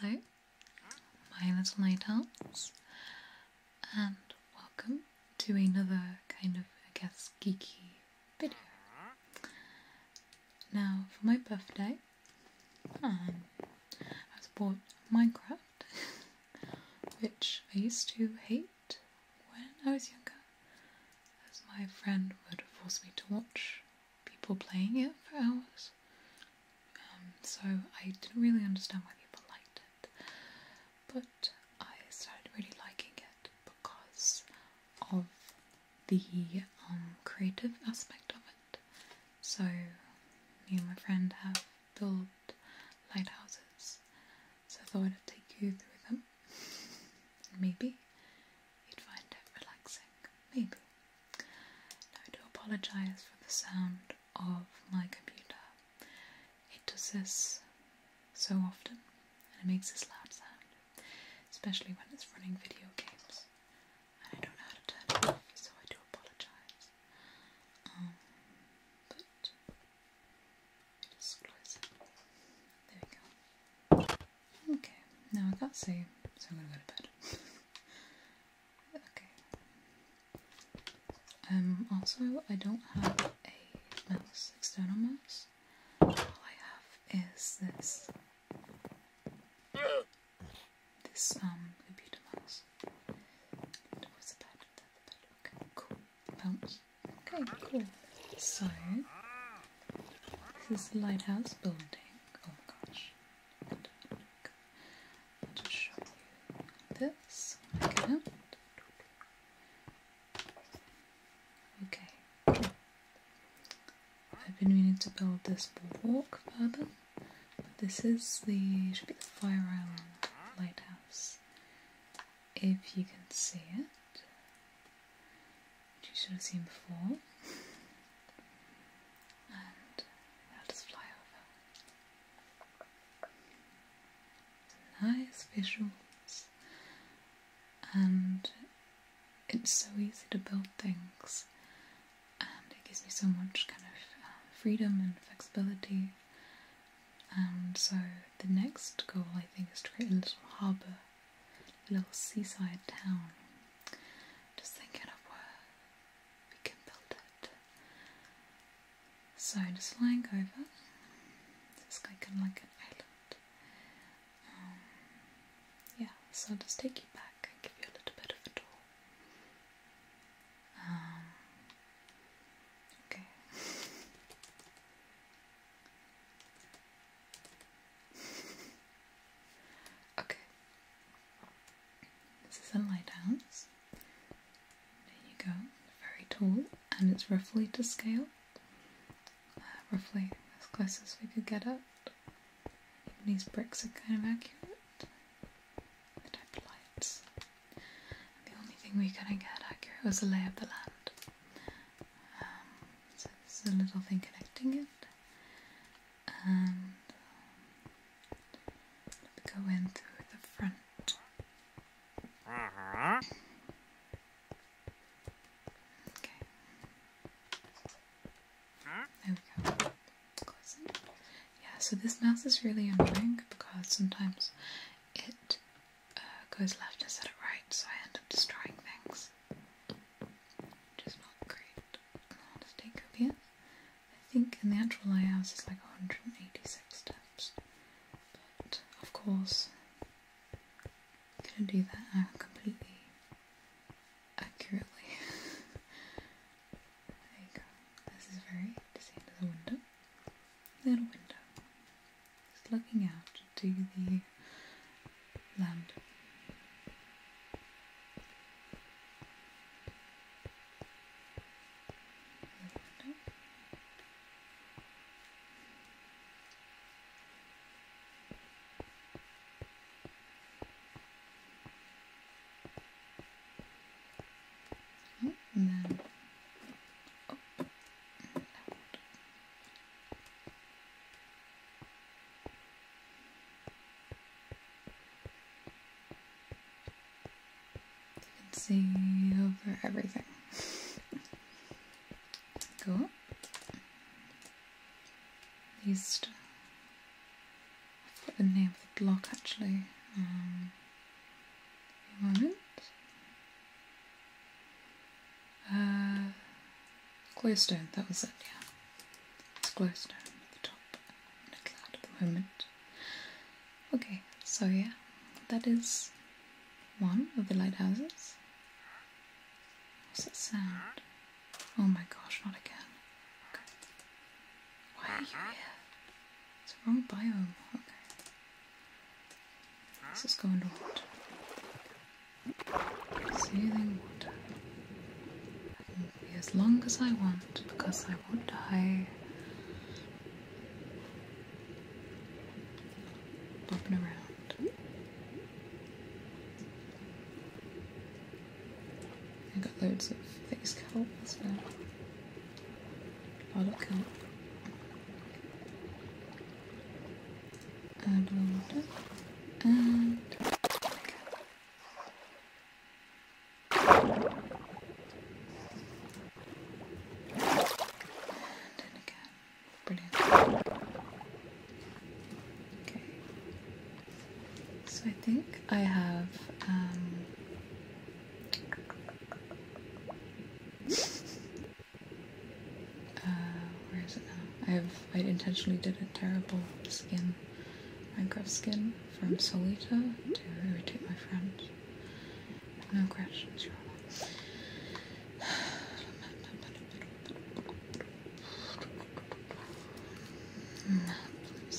Hello, my little night owls, and welcome to another kind of, I guess, geeky video. Now, for my birthday, um, I bought Minecraft, which I used to hate when I was younger, as my friend would force me to watch people playing it for hours. Um, so I didn't really understand why people liked it. But I started really liking it because of the um, creative aspect of it. So me and my friend have built lighthouses. So I thought I'd take you through them. Maybe you'd find it relaxing, maybe. Now, I do apologise for the sound of my computer, it does this so often and it makes this loud sound, especially when it's running video games. And I don't know how to turn it off, so I do apologise. Um, but just close it. There we go. Okay, now I can't see, so I'm gonna go to bed. okay. Um, also, I don't have a mouse, external mouse. All I have is this. This, um, computer mouse. Where's the bed? The bed. Okay, cool. Okay, cool. So, this is the lighthouse building. Oh my gosh and i show you this. Okay. I've been meaning to build this walk further, but this is the Fire Island lighthouse. If you can see it, which you should have seen before. And they'll just fly over. Nice visuals. And it's so easy to build things, and it gives me so much kind of um, freedom and flexibility. And so the next goal I think is to create a little harbour little seaside town. Just thinking of where we can build it. So just flying over. It's like kind like an island. Um, yeah, so just take you back and give you a little bit of a tour. Um, okay. okay. This is a lie downs. There you go. Very tall, and it's roughly to scale. Uh, roughly as close as we could get it. these bricks are kind of accurate. The type lights. the only thing we couldn't get accurate was the lay of the land. Um, so this is a little thing connecting it and go in through the front. Okay. There we go. Yeah, so this mouse is really annoying because sometimes it uh, goes left instead of right, so I end up destroying things. Just not great. Let's take up here. I think in the actual layouts it's like 186 steps. But of course, I'm gonna do that uh, completely accurately. there you go. This is very easy. There's a window. Little window. It's looking out to the Hmm, land. Oh, and then you can see over everything. Go up. East. I forgot the name of the block actually. moment. Um, uh, Glowstone, that was it, yeah. It's glowstone at the top. I'm not at the moment. Okay, so yeah, that is one of the lighthouses. What's that sound? Oh my gosh, not again. Okay. Why are you here? It's the wrong biome. Okay. This is going on. Soothing water. I can be as long as I want because I won't die. Bobbing around. I got loads of face scalps now. Bottle kelp. And a water. And and again. Brilliant. Okay. So I think I have um, uh, where is it now? I have I intentionally did a terrible skin, Minecraft skin, from Solita to irritate my friend. No questions, Your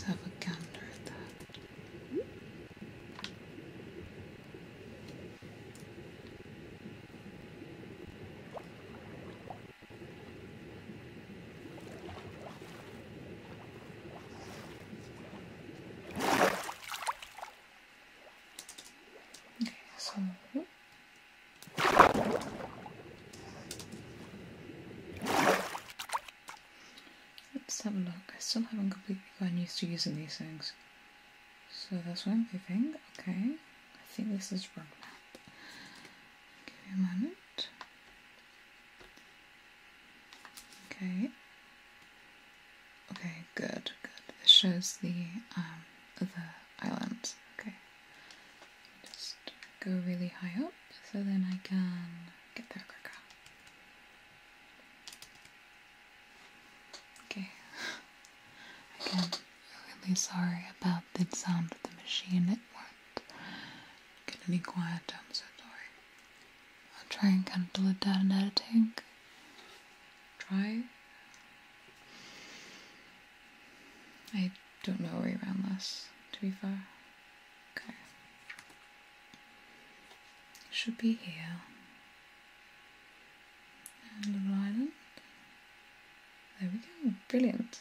have a gander at that. Okay, so let's have a look. I still haven't completely gotten used to using these things. So that's why I'm thing. Okay, I think this is wrong Give me a moment. Okay. Okay, good, good. This shows the um the islands. Okay. Just go really high up so then I can get there quicker. Okay. I I'm really sorry about the sound of the machine. It won't get any quieter, I'm so sorry. I'll try and kind of control it down in editing. Try. I don't know where you are around last, to be fair. Okay. Should be here. little island. There we go. Brilliant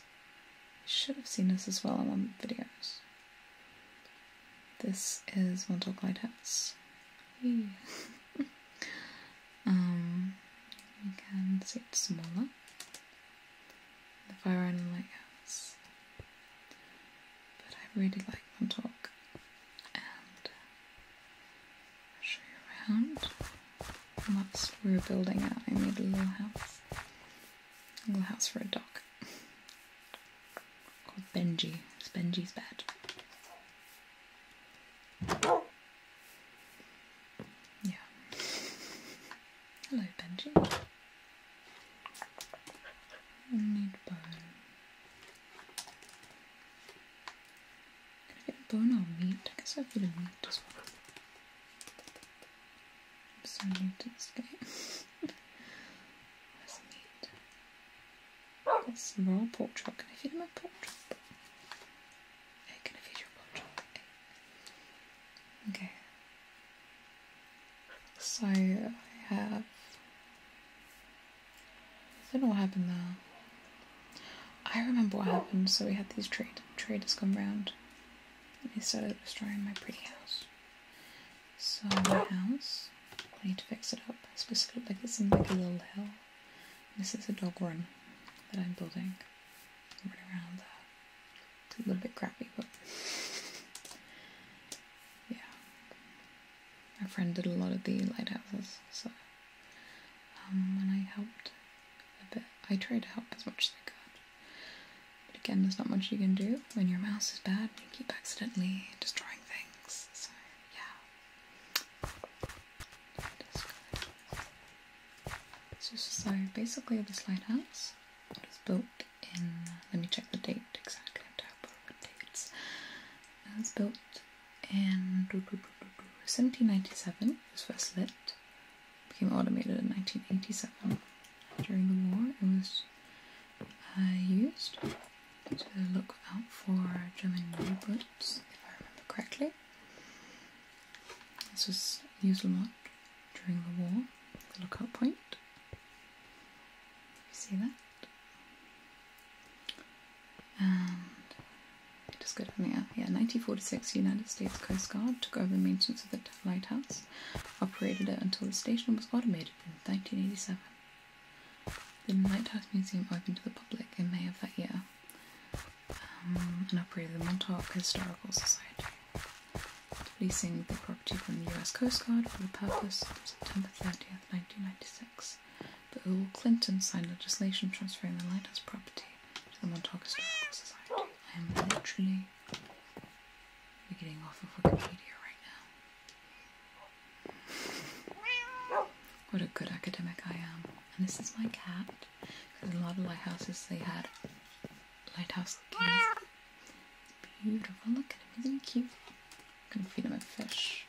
should have seen this as well in one of the videos. This is Glide House. um, can see it's smaller. The Fire Island Lighthouse. But I really like Montauk. And uh, I'll show you around lots we are building out. I made a little house. A little house for a dog. Called Benji. It's Benji's bed. Yeah. Hello, Benji. I need bone. Can I get bone or meat? I guess I'll get a meat as well. I'm so new to this That's neat. Got some raw pork chop. Can I feed him a pork chop? can I feed you a pork chop? Okay. So I have. I don't know what happened there. I remember what happened. So we had these trade traders come round, and I started destroying my pretty house. So my house, I need to fix it up. It's supposed look like this in like a little hill. This is a dog run that I'm building. around that. It's a little bit crappy, but yeah. My friend did a lot of the lighthouses, so um, when I helped a bit I try to help as much as I could. But again, there's not much you can do when your mouse is bad and you keep accidentally destroying things. So, yeah. So, so basically, this lighthouse was built in. Let me check the date exactly. I'm terrible with dates. It was built in 1797. It was first lit became automated in 1987. During the war, it was uh, used to look out for German U-boats, if I remember correctly. This was used a lot during the war, the lookout point. You see that? Just go down there. Yeah, 1946 United States Coast Guard took over maintenance of the lighthouse, operated it until the station was automated in 1987. The Lighthouse Museum opened to the public in May of that year um, and operated the Montauk Historical Society, leasing the property from the U.S. Coast Guard for the purpose on September 30th, 1996. But Bill Clinton signed legislation transferring the lighthouse property to the Montauk Historical Society. I'm literally getting off of Wikipedia right now. What a good academic I am. And this is my cat. Because a lot of lighthouses they had lighthouse keys. Beautiful. Look at him. Isn't he cute? I gonna feed him a fish.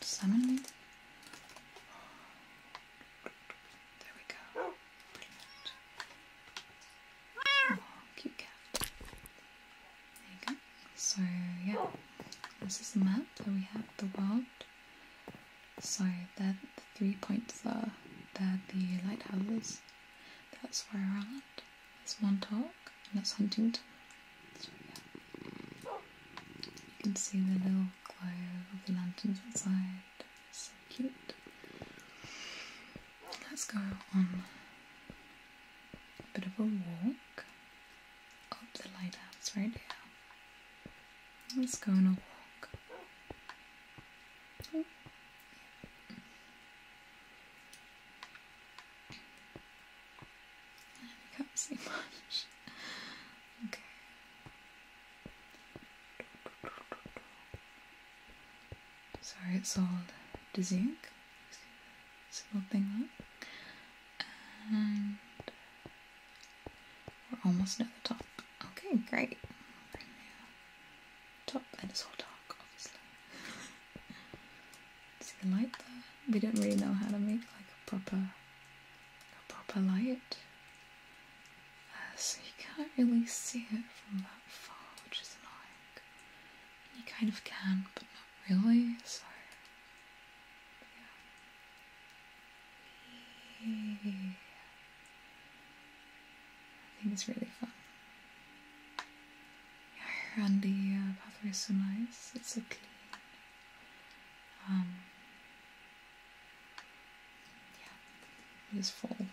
Suddenly, there we go. Oh, cute cat. There you go. So yeah, this is the map So we have the world. So there, the three points are there the lighthouses. That's where I land. at. There's one and that's Huntington you can see the little glow of the lanterns outside. It's so cute. Let's go on a bit of a walk up the lighthouse right here. Let's go on a walk. Oh, I can't see much. Okay. Sorry, it's all dizzying. a little thing up. And we're almost at the top. Okay, great. Top, and it's all dark, obviously. See the light there? We don't really know how to make like a proper a proper light uh, so you can't really see it from that far which is annoying you kind of can but not really so yeah. I think it's really fun yeah, and the uh, pathway is so nice it's so clean um, yeah, it is and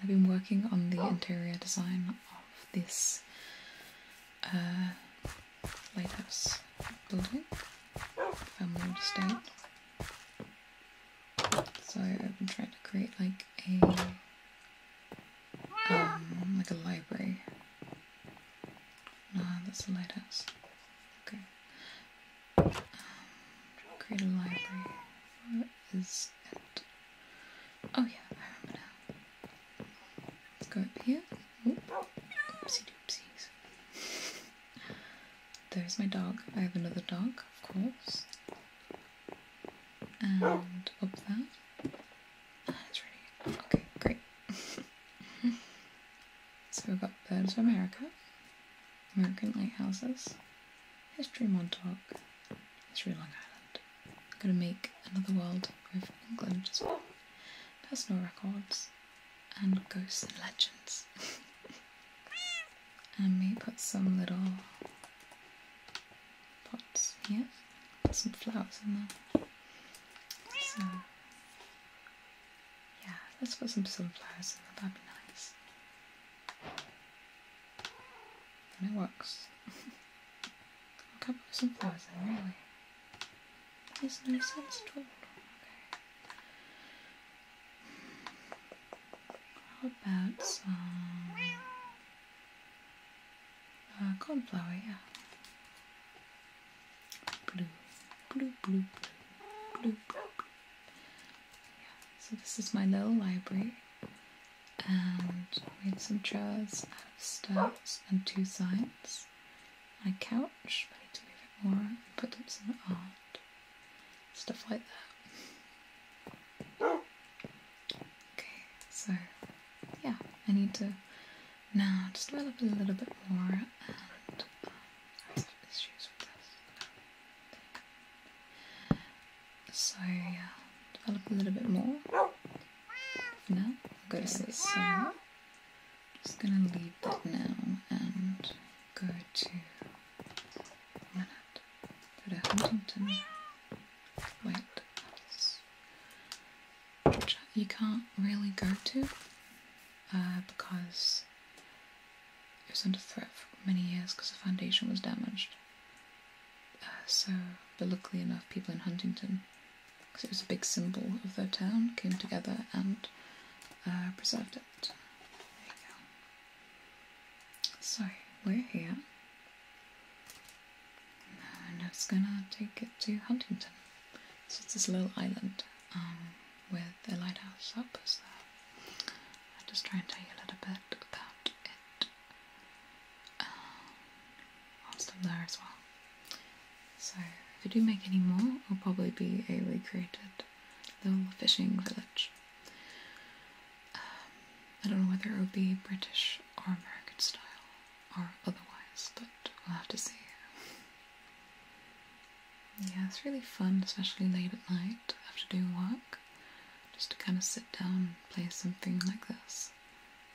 I've been working on the interior design of this uh, lighthouse building, family estate. So I've been trying to create like a um, like a library. No, that's a lighthouse. Okay. Um, create a library. Where is Oh yeah, I remember now. Let's go up here. Oopsie doopsies. There's my dog. I have another dog, of course. And up there. That's ready. Okay, great. so we've got Birds of America, American Lighthouses, History Montauk, History Long Island. I'm gonna make Another World of England as well, Personal Records, and Ghosts and Legends. and we put some little pots here. some flowers in there. yeah, let's put some sunflowers in there, that'd be nice. And it works. A couple not some flowers in, really. That makes no sense at all. Okay. How about some uh, Blue, blue, blue, blue, Yeah, so this is my little library. And made some drawers out of stones and two signs. My couch, I need to move it more put some art. Stuff like that. Okay, so yeah, I need to now just develop a little bit more and uh, So develop a little bit more. For now, I'll go to say So just gonna leave that now and go to Manhattan. Go to Huntington White which you can't really go to uh, because it was under threat for many years because the foundation was damaged. Uh, so, but luckily enough, people in Huntington, because it was a big symbol of their town, came together and uh, preserved it. There you go. So, we're here and it's gonna take it to Huntington. It's just this little island um, with a lighthouse up as so I'll just try and tell you a little bit about it um, whilst I'm there as well. So if I do make any more, it'll probably be a recreated little fishing village. Um, I don't know whether it will be British or American style or otherwise, but we'll have to see. Yeah, it's really fun, especially late at night after doing work, just to kind of sit down and play something like this.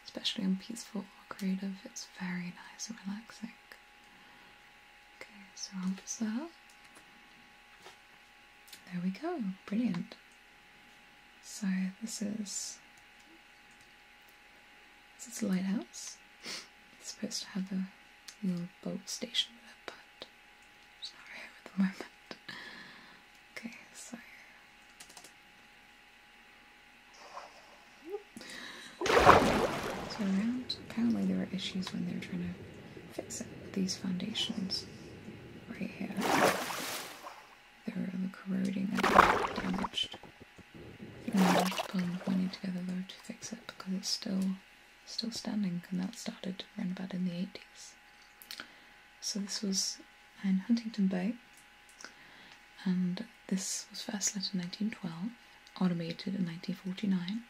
Especially on peaceful or creative, it's very nice and relaxing. Okay, so I'll put that There we go, brilliant. So this is this is a lighthouse. It's supposed to have a little boat station with but it's at the moment. Okay, so so around, apparently there were issues when they were trying to fix it these foundations right here. They are corroding and damaged. You can to pull enough money together though to fix it because it's still still standing and that started around about in the 80s. So this was in Huntington Bay and this was first lit in 1912, automated in 1949.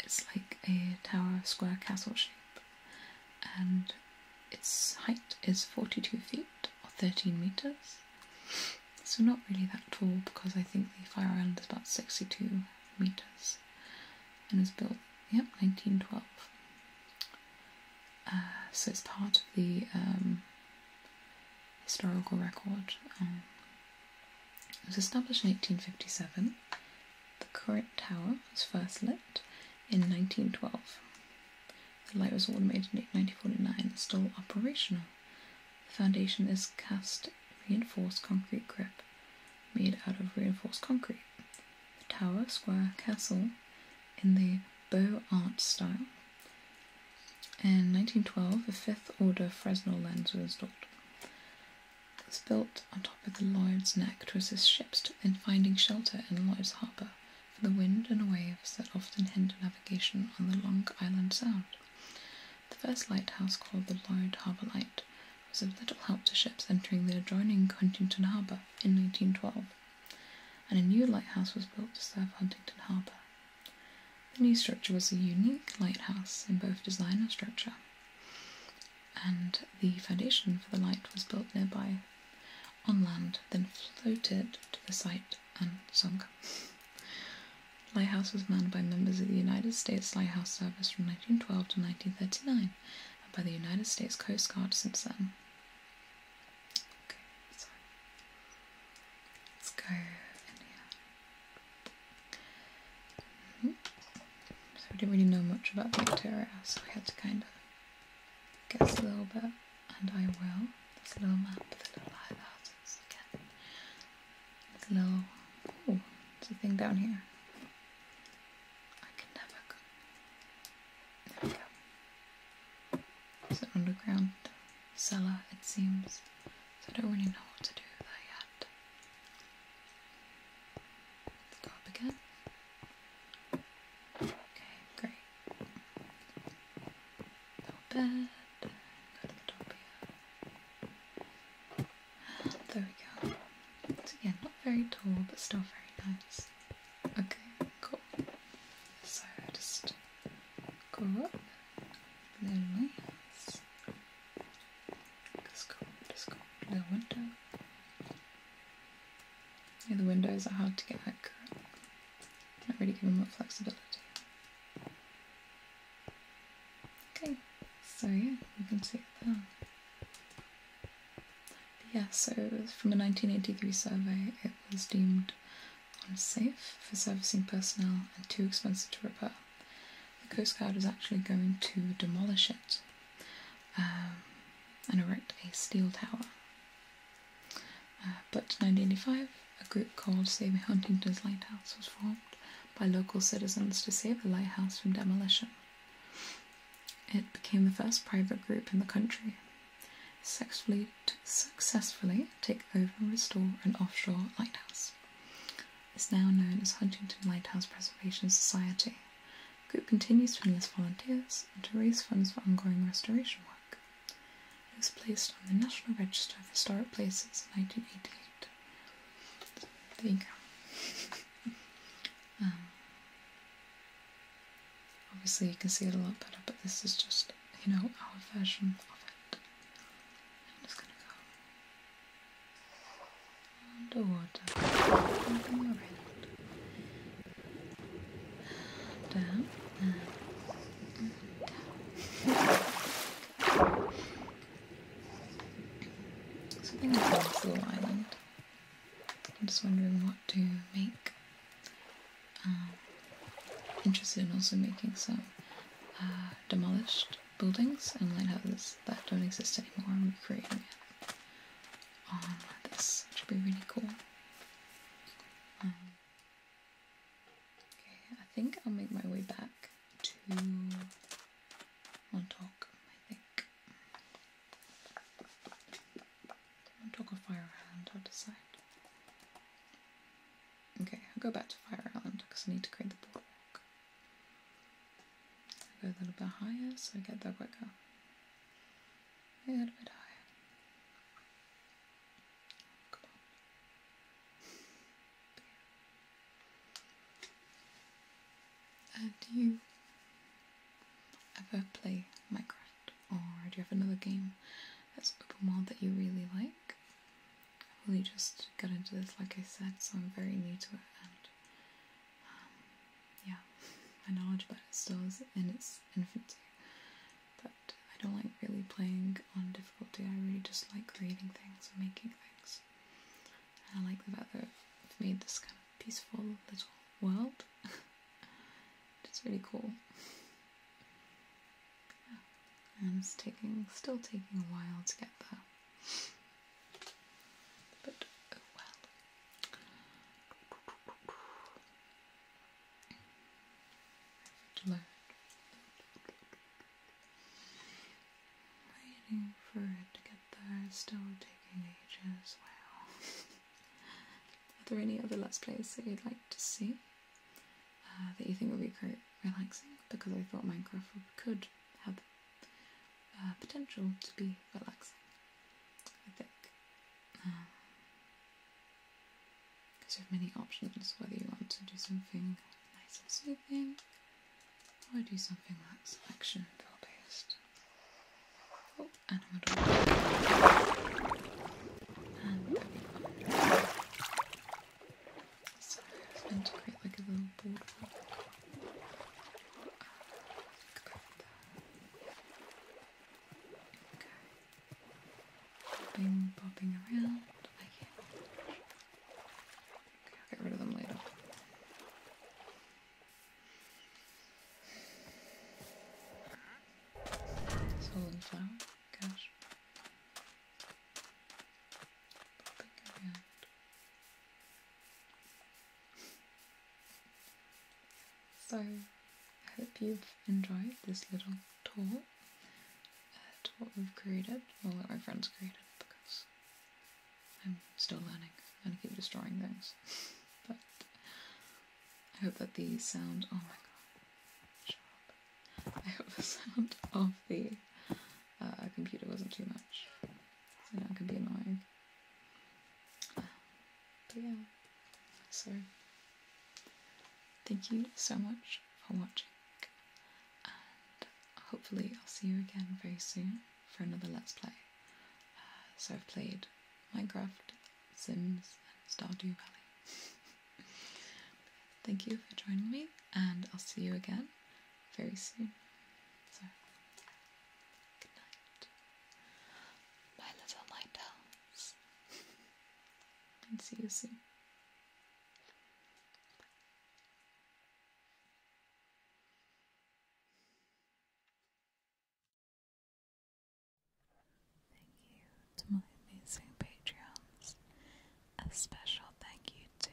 It's like a tower square castle shape and its height is 42 feet or 13 meters, so not really that tall because I think the Fire Island is about 62 meters and was built, yep, 1912. Uh, so it's part of the um, historical record. Um, it was established in 1857. The current tower was first lit in 1912. The light was automated in 1949 and still operational. The foundation is cast reinforced concrete grip made out of reinforced concrete. The tower, square, castle in the Beaux Arts style. In 1912, a fifth order Fresnel lens was installed. It was built on top of the Lloyd's Neck to assist ships in finding shelter in Lloyd's Harbour for the wind and waves that often hinder navigation on the Long Island Sound. The first lighthouse, called the Lloyd Harbour Light, was of little help to ships entering the adjoining Huntington Harbour in 1912, and a new lighthouse was built to serve Huntington Harbour. The new structure was a unique lighthouse in both design and structure, and the foundation for the light was built nearby on land, then floated to the site and sunk. Lighthouse was manned by members of the United States Lighthouse Service from 1912 to 1939 and by the United States Coast Guard since then. Let's go hmm. So we didn't really know much about the interior, so we had to kind of guess a little bit and I will. This little map, the little lighthouses again. This oh, there's a thing down here. I can never go. There we go. It's an underground cellar, it seems. So I don't really know what to do with that yet. Let's go up again. Okay, great. No bed. Go to There we go. Again, not very tall, but still very nice. Okay, cool. So just go up. Little lights. Just go, just go. Little window. Yeah, the windows are hard to get accurate. Don't really give them much flexibility. Okay, so yeah, you can see that. yeah, so from a 1983 survey, it was deemed unsafe for servicing personnel and too expensive to repair. The Coast Guard is actually going to demolish it um, and erect a steel tower uh, but 1985, a group called Save Huntington's Lighthouse was formed by local citizens to save the lighthouse from demolition. It became the first private group in the country successfully to take over and restore an offshore lighthouse. It's now known as Huntington Lighthouse Preservation Society. The group continues to enlist volunteers and to raise funds for ongoing restoration work. It was placed on the National Register of Historic Places in 1988. there you go. Um, obviously, you can see it a lot better, but this is just, you know, our version of it. I'm just gonna go underwater, down, down, down. Something about this little island. I'm just wondering what to make. Um, interested in also making some uh, demolished buildings and lighthouses that don't exist anymore and recreating it on this, which would be really cool. Um, okay, I think I'll make my way back to Montauk, I think. Montauk or Fire Island, I'll decide. Okay, I'll go back to Fire Island because I need to create the boardwalk. I'll go a little bit higher so I get there quicker a little bit higher. Oh, do you ever play Minecraft, or do you have another game that's open world that you really like? i really just got into this, like I said, so I'm very new to it, and um, yeah, my knowledge about it still in its infancy. But I don't like really playing on difficulty. I really just like creating things and making things. I like the fact that I've made this kind of peaceful little world. it's really cool. And it's taking, still taking a while to get there. But oh well to Waiting for it to get there is still taking ages. Wow. Are there any other Let's Plays that you'd like to see uh, that you think would be quite relaxing? Because I thought Minecraft could have uh, potential to be relaxing. I think. Uh, because you have many options, whether you want to do something nice and soothing, or do something like action feel based. Oh, and I'm adorable. to create like a little boardwalk. Okay. Popping, popping around. I can't. Okay, I'll get rid of them later. Solid flower. Gosh. So I hope you've enjoyed this little tour at uh, what we've created, well my friends created because I'm still learning and I keep destroying things. but I hope that the sound oh my god, I hope the sound of the uh, computer wasn't too much. So it can be annoying but yeah, so thank you so much for watching, and hopefully I'll see you again very soon for another Let's Play. Uh, so I've played Minecraft, Sims, and Stardew Valley. thank you for joining me, and I'll see you again very soon. So, good night. My little night owl and see you soon. Thank you to my amazing Patreons. A special thank you to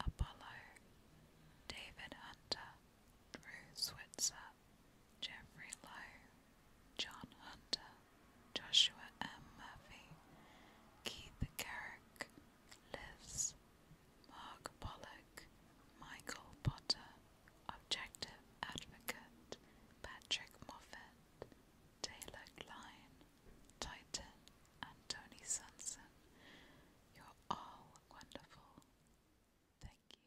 Apollo, David Hunter, Drew Switzer, Jeffrey Lowe, John Hunter, Joshua M. Murphy, Keith Garrick, Liz, Mark Pollock, Michael Potter, Objective Advocate, Patrick Moffat, Taylor Klein, Titan, and Tony Sunson. You're all wonderful. Thank you.